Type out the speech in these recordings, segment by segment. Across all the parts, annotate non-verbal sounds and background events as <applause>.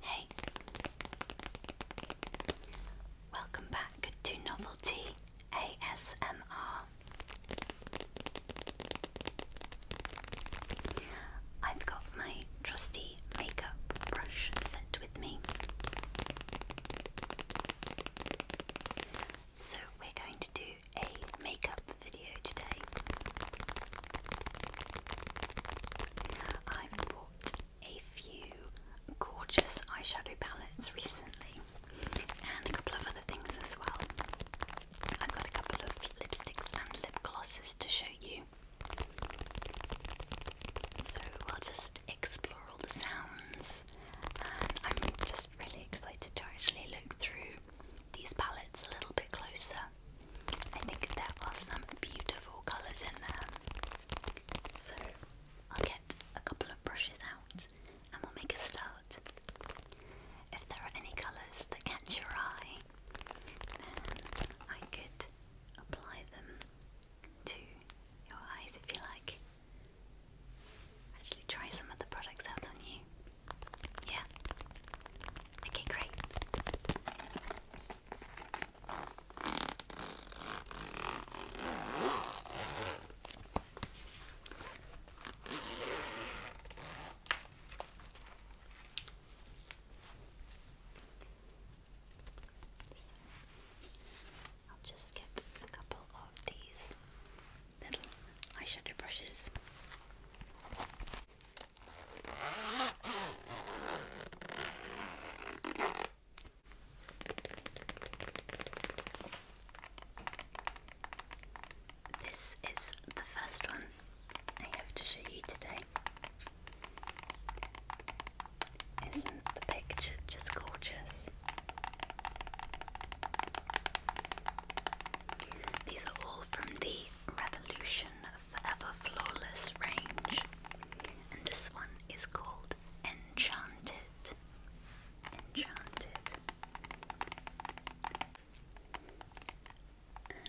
Hey, welcome back to Novelty ASMR. I've got my trusty makeup brush set with me. So we're going to do a makeup video today. I bought a few gorgeous eyeshadow palettes recently and a couple of other things as well. I've got a couple of lipsticks and lip glosses to show you. So I'll just explore all the sounds. And I'm just really excited to actually look through these palettes a little bit closer. I think there are some beautiful colours in there. So I'll get a couple of brushes out and we'll make a start. If there are any colours that catch your eye, then I could apply them to your eyes if you like. Actually, try some of the products out on you. Yeah. Okay, great. I'll just get a couple of these little eyeshadow brushes. This is the first one I have to show you today. Isn't the picture just gorgeous? These are all from the Revolution Forever Flawless range, and this one is called Enchanted. Enchanted.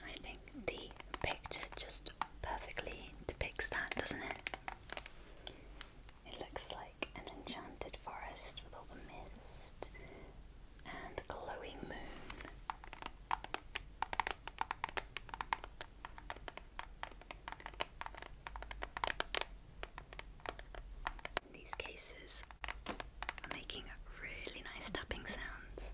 I think the picture just perfectly depicts that, doesn't it? It looks like an enchanted forest with all the mist and the glowing moon. These cases are making really nice tapping sounds.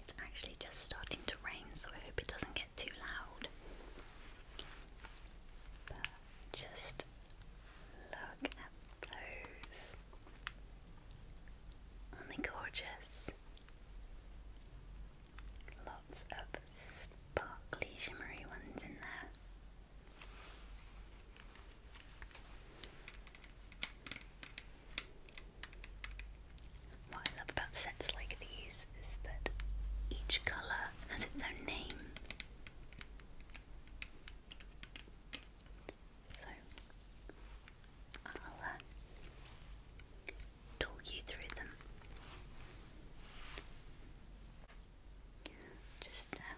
It's actually just starting to rain, so I hope it doesn't get too loud just look at those. are gorgeous? Lots of sparkly, shimmery ones in there. What I love about sets like these is that each colour has its own name. So I'll uh, talk you through them. Just uh,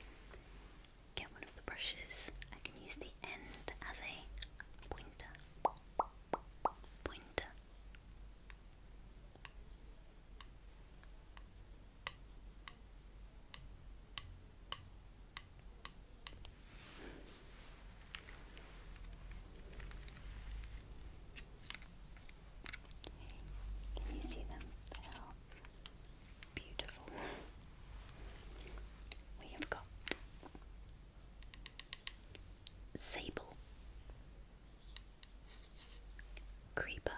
get one of the brushes. I can use the end as a pointer. Can you see them? They are beautiful. We have got sable, Creeper,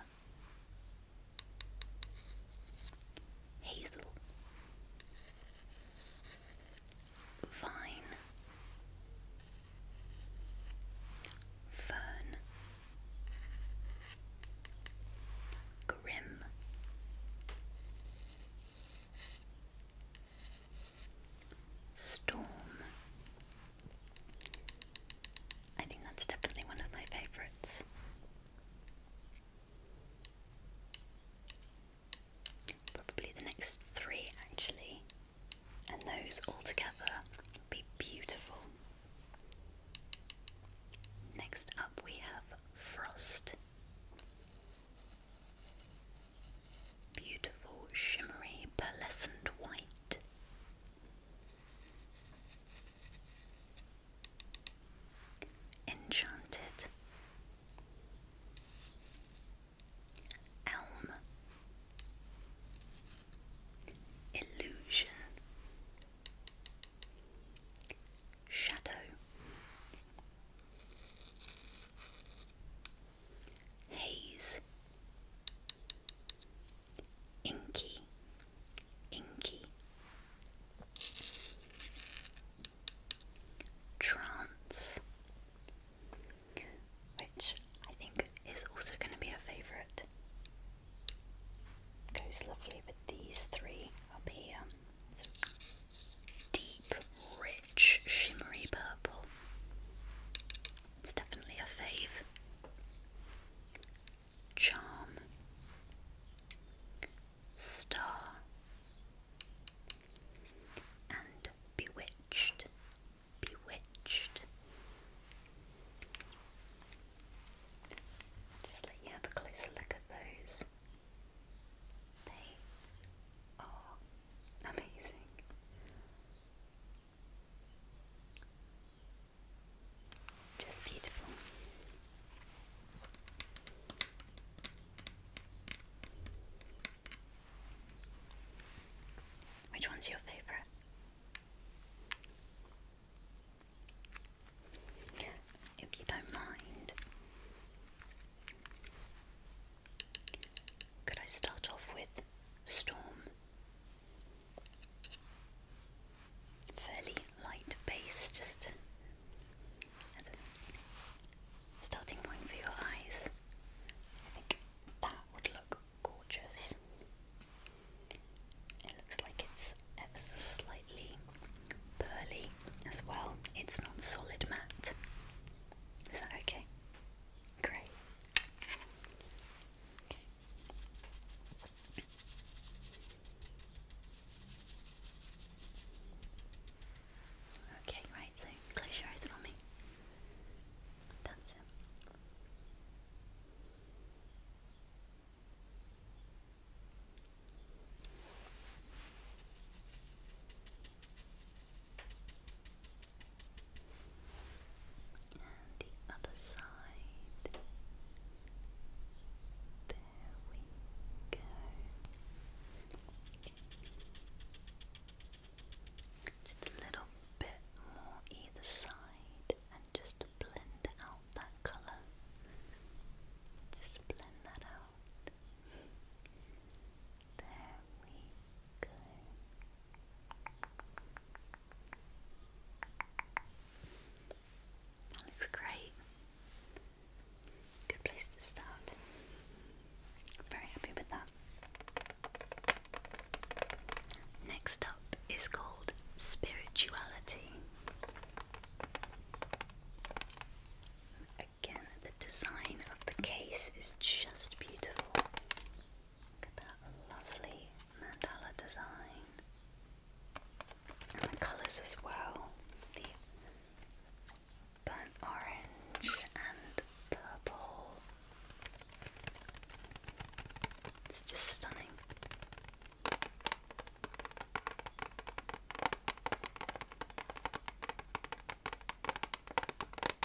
Hazel, Vine, Fern, Grim. Storm, I think that's definitely one of my favorites. Probably the next three, actually, and those all together will be beautiful. Next up, we have Frost. Beautiful, shimmery, pearlescent white. Enchanted. Elm. Illusion. Shadow haze, inky, inky, trance, which I think is also going to be a favourite. Goes lovely with these three up here. deep, rich, shimmery purple. It's definitely a fave. Charm. Star. And bewitched. Bewitched. Just let you have a closer look at those. They are amazing. Just beautiful. Which one's your favourite? If you don't mind, could I start off with Storm? Fairly light base, just as a starting point for your eyes. I think that would look gorgeous. It looks like it's slightly pearly as well. It's not solid matte. Is that okay? Great. Okay. right, so close your eyes for me. That's it. And the other side. There we go. Just a little bit more either side and just blend out that colour. Just blend that out. There we Good. looks great. Good place to start. Very happy with that. Next up is called Spirituality. Again, the design of the case is just beautiful. Look at that lovely mandala design. And the colours as well. The burnt orange and purple. It's just stunning.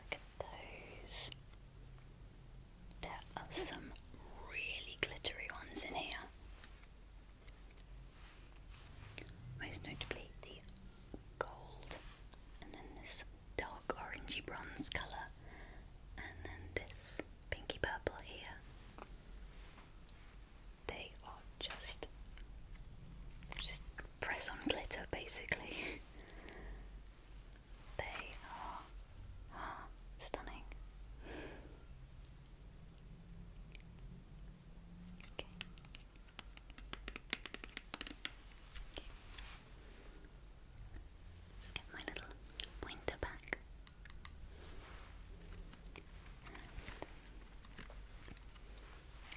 Look at those. There are some really glittery ones in here. Most notably the gold, and then this dark orangey bronze colour, and then this pinky purple here. They are just, just press on glitter basically. <laughs> They are stunning. okay. get my little pointer back.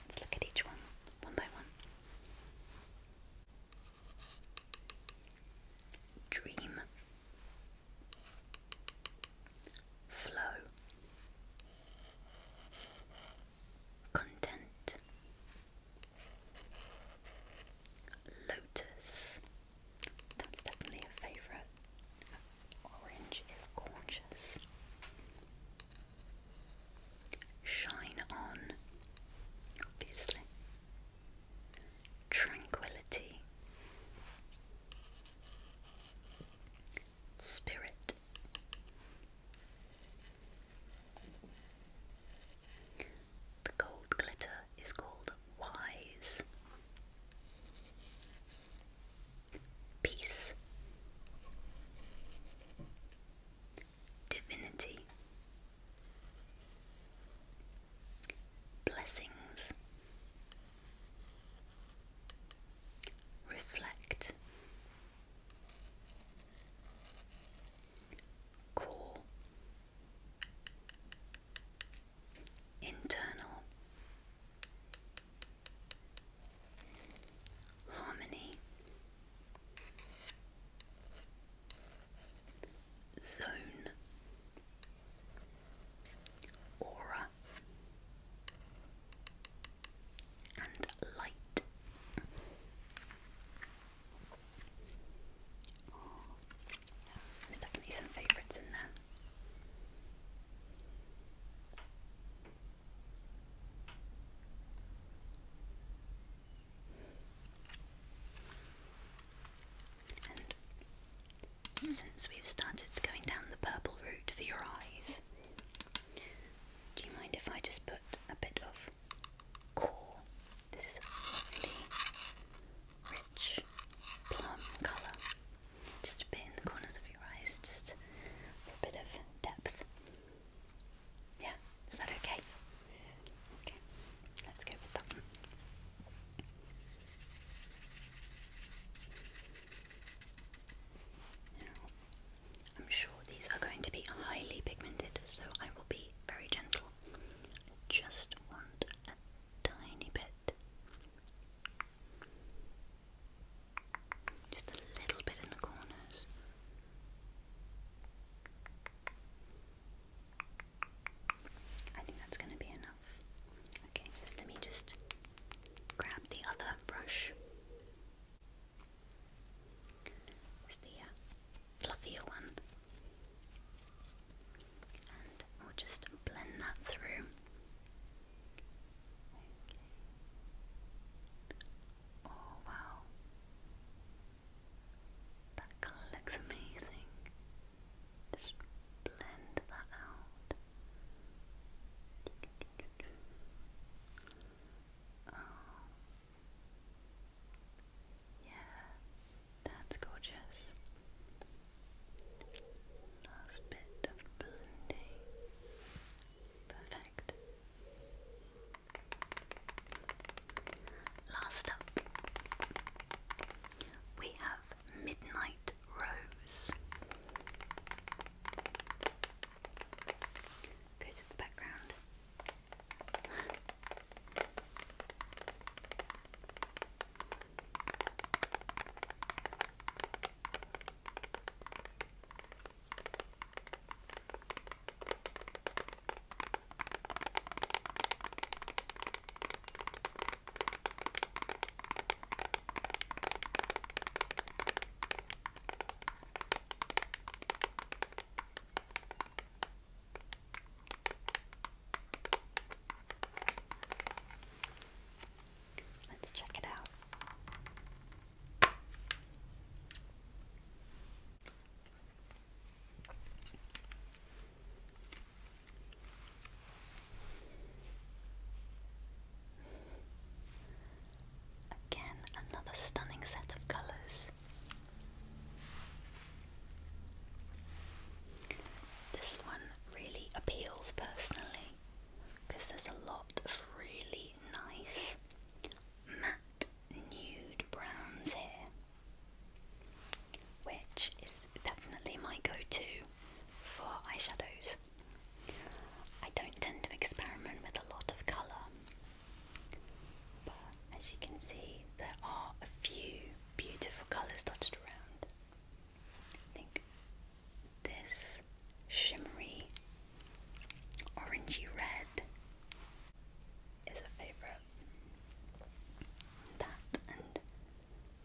let's look at each one, one by one. Dream, Flow, Content, Lotus. That's definitely a favourite. Orange is gorgeous. Shine on, obviously. Tranquility. Spirit. The gold glitter is called wise. Peace. Divinity. Blessings. Reflect. Core. Internal. Harmony zone, aura, and light. there's definitely some favourites in there since we've started going down the purple route for your eyes, do you mind if I just put a bit of core? This lovely, rich plum colour. Just a bit in the corners of your eyes, just a bit of depth. Yeah, is that okay? Okay, let's go with that one. I'm sure these are going to be highly pigmented, so I will be very gentle. just want a tiny bit. Just a little bit in the corners. I think that's going to be enough. Okay, let me just grab the other brush. the uh, fluffier one. And we'll just blend that through. Oh wow. That colour looks amazing. Just blend that out. Oh. Yeah, that's gorgeous. Last bit of blending. Perfect. Last up, we have Midnight Rose. Goes with the background. Let's check it out. Again, another stunning set of colours. This one really appeals personally because there's a lot of really nice matte nude browns here, which is definitely my go to for eyeshadows. I don't tend to experiment with a lot of colour, but as you can see, there are a few beautiful colours dotted around. I think this shimmery orangey red is a favourite. That and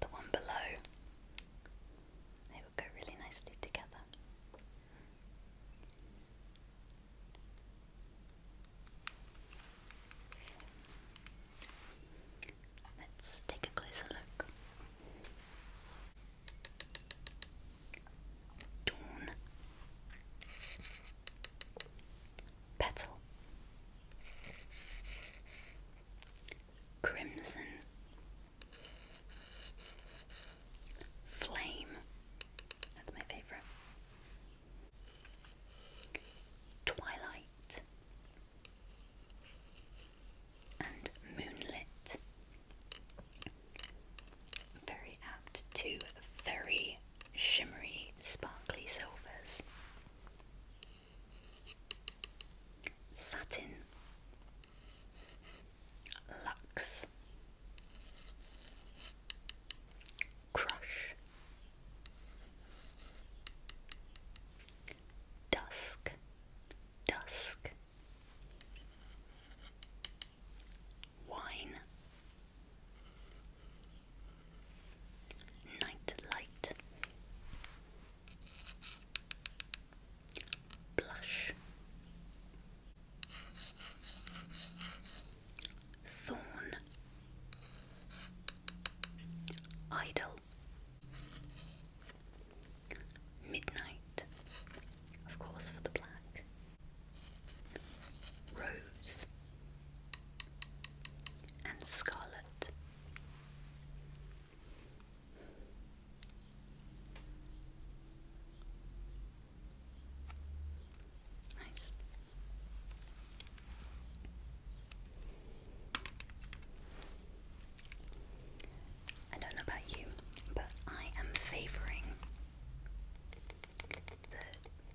the one below, they would go really nicely together. let's take a closer look. Dawn petal, crimson, flame, that's my favourite, twilight, and moonlit. Very apt to very shimmery, sparkly silvers. Satin. Lux. Crush. Dusk. Dusk. Wine. Night Blush. Thorn. Idol. Midnight. Of course, for the black rose, and scarlet. Nice. I don't know about you, but I am favouring the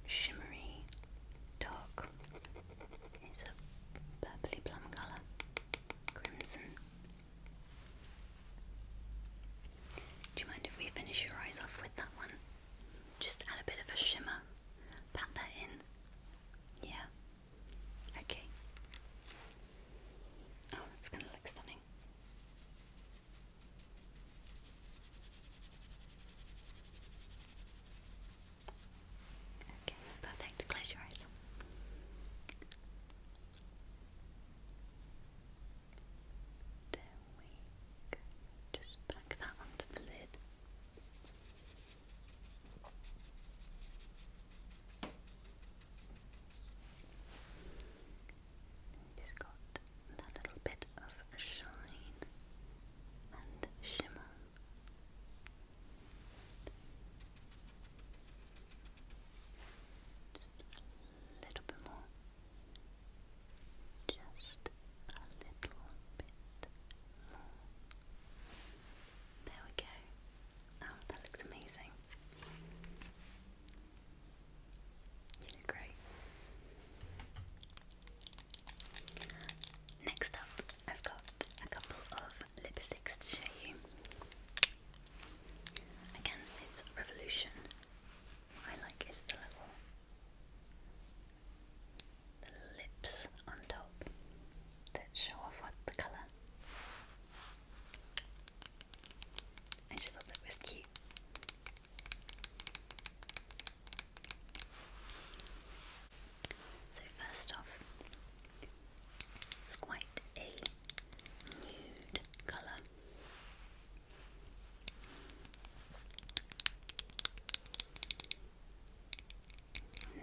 shimmery dark. It's a purpley plum colour, crimson. Do you mind if we finish your eyes off with that one? Just add a bit of a shimmer. Pat that in. Yeah. Okay. Oh, it's going to look stunning. Okay, perfect. Close your eyes. There we Just back that onto the lid it got that little bit of shine and shimmer. Just a little bit more. Just a little bit more. There we go. Oh, that looks amazing. You great. Next up, I've got a couple of lipsticks to show you. Again, it's Revolution. I like is the little the lips on top that show off what the colour. I just thought that was cute. So, first off, it's quite a nude colour.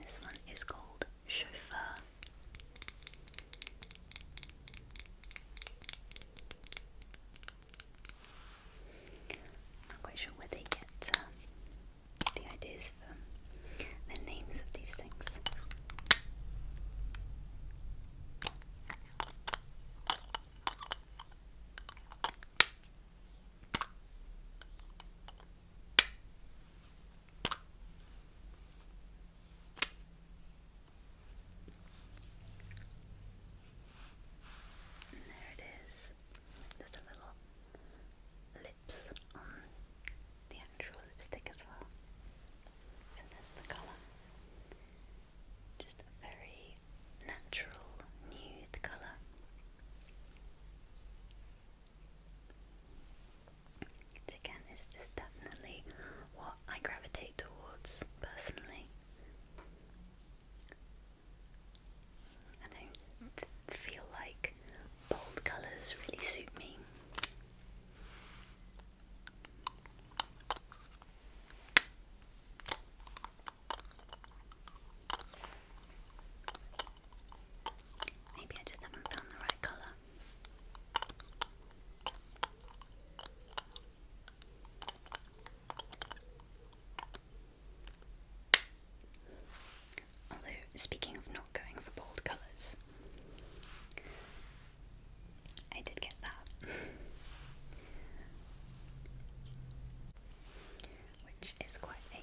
this one is called Chauffeur. I'm not quite sure where they get uh, the ideas for the names of these things. And there it is. There's a little lips the actual lipstick as well. So there's the colour. Just a very natural nude colour. Which again is definitely what I gravitate towards personally. I don't feel like bold colours really suit me. Maybe I just haven't found the right colour. Although, speaking of not going for bold colours, I did get that. <laughs> Which is quite a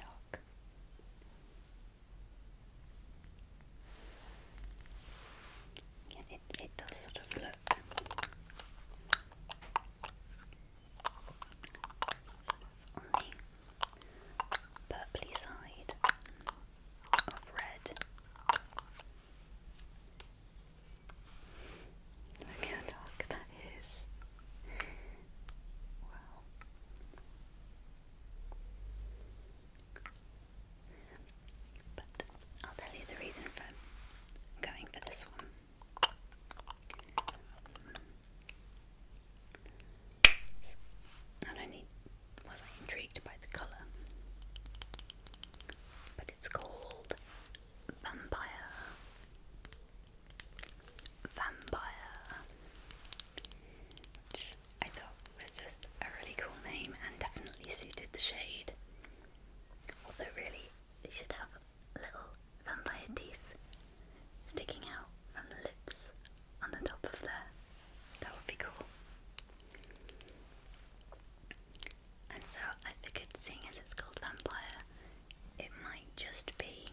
dark it, it does sort of look it. Sort on the purpley side of red. Look <laughs> how dark that is. Wow. But I'll tell you the reason for going for this one. Not only was I intrigued by the colour, but it's called Vampire. Vampire. Which I thought was just a really cool name and definitely suited the shade. Although really, they should have little vampire teeth sticking out from the lips on the top of there. That would be cool. And so I figured, seeing as it's called vampire, it might just be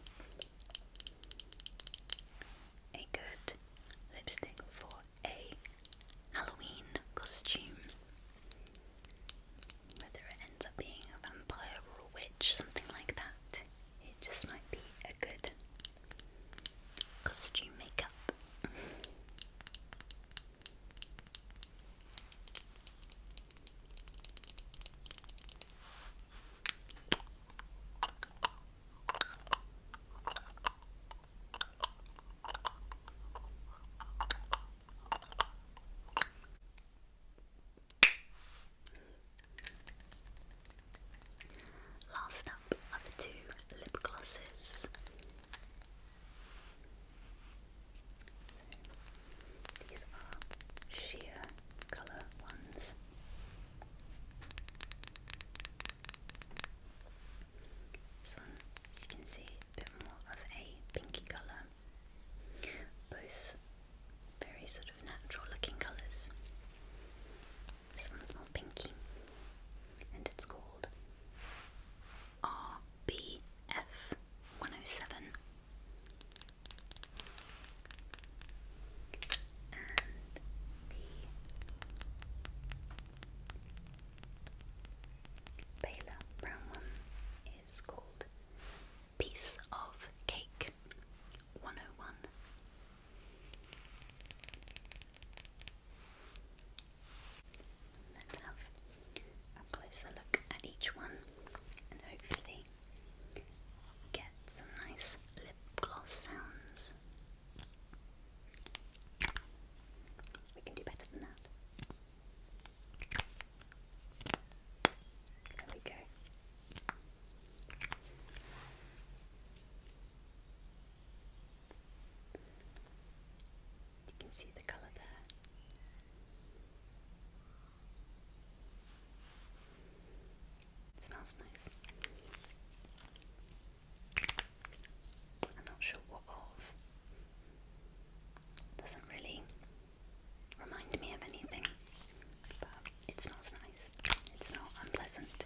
a good lipstick for a Halloween costume. Whether it ends up being a vampire or witch, something like that, it just might be a good costume makeup. Last up are the two lip glosses. these are sheer colour ones. This one, as you can see, a bit more of a pinky colour. Both very sort of natural looking colours. This one's more pinky and it's called RBF 107 paler brown one is called Piece of Cake 101. Let's have a closer look at each one and hopefully get some nice lip gloss sounds. We can do better than that. There we go. You can see the colour there. smells nice. I'm not sure what of. Doesn't really remind me of anything, but it smells nice. It's not unpleasant.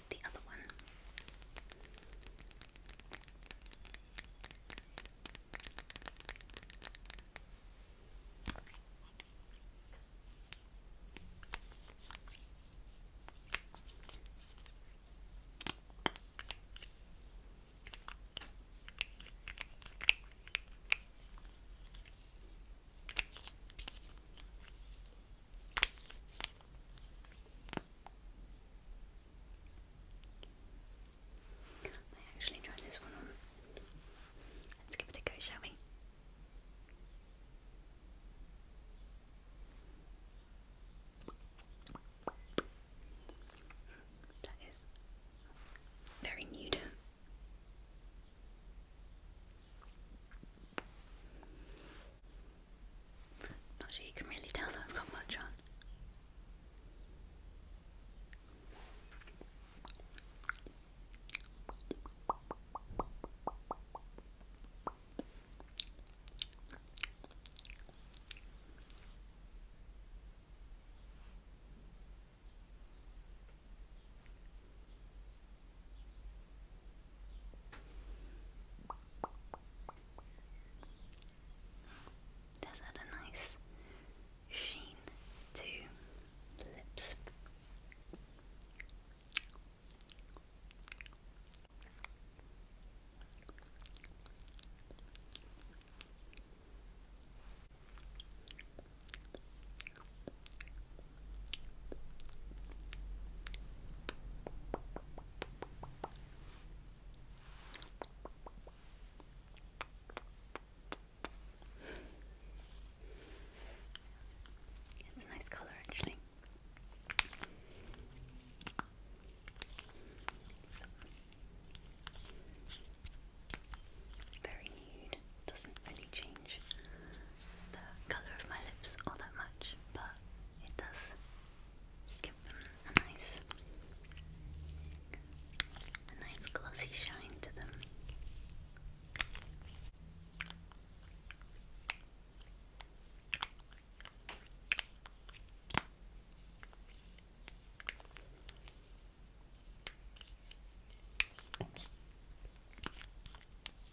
the other one. I actually tried this one Let's give it a go, shall we? That is very nude. Not sure you can really tell that I've got much on. Does add a nice sheen to lips. It's a nice color actually. very nude, doesn't really change the colour of my lips all that much, but it does just give them a nice, a nice glossy shine to them.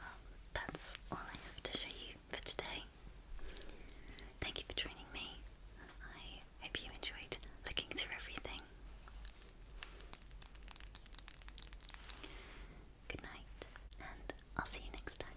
Well, that's all I have to show you for today. Thank you for joining me. I hope you enjoyed looking through everything. Good night, and I'll see you next time.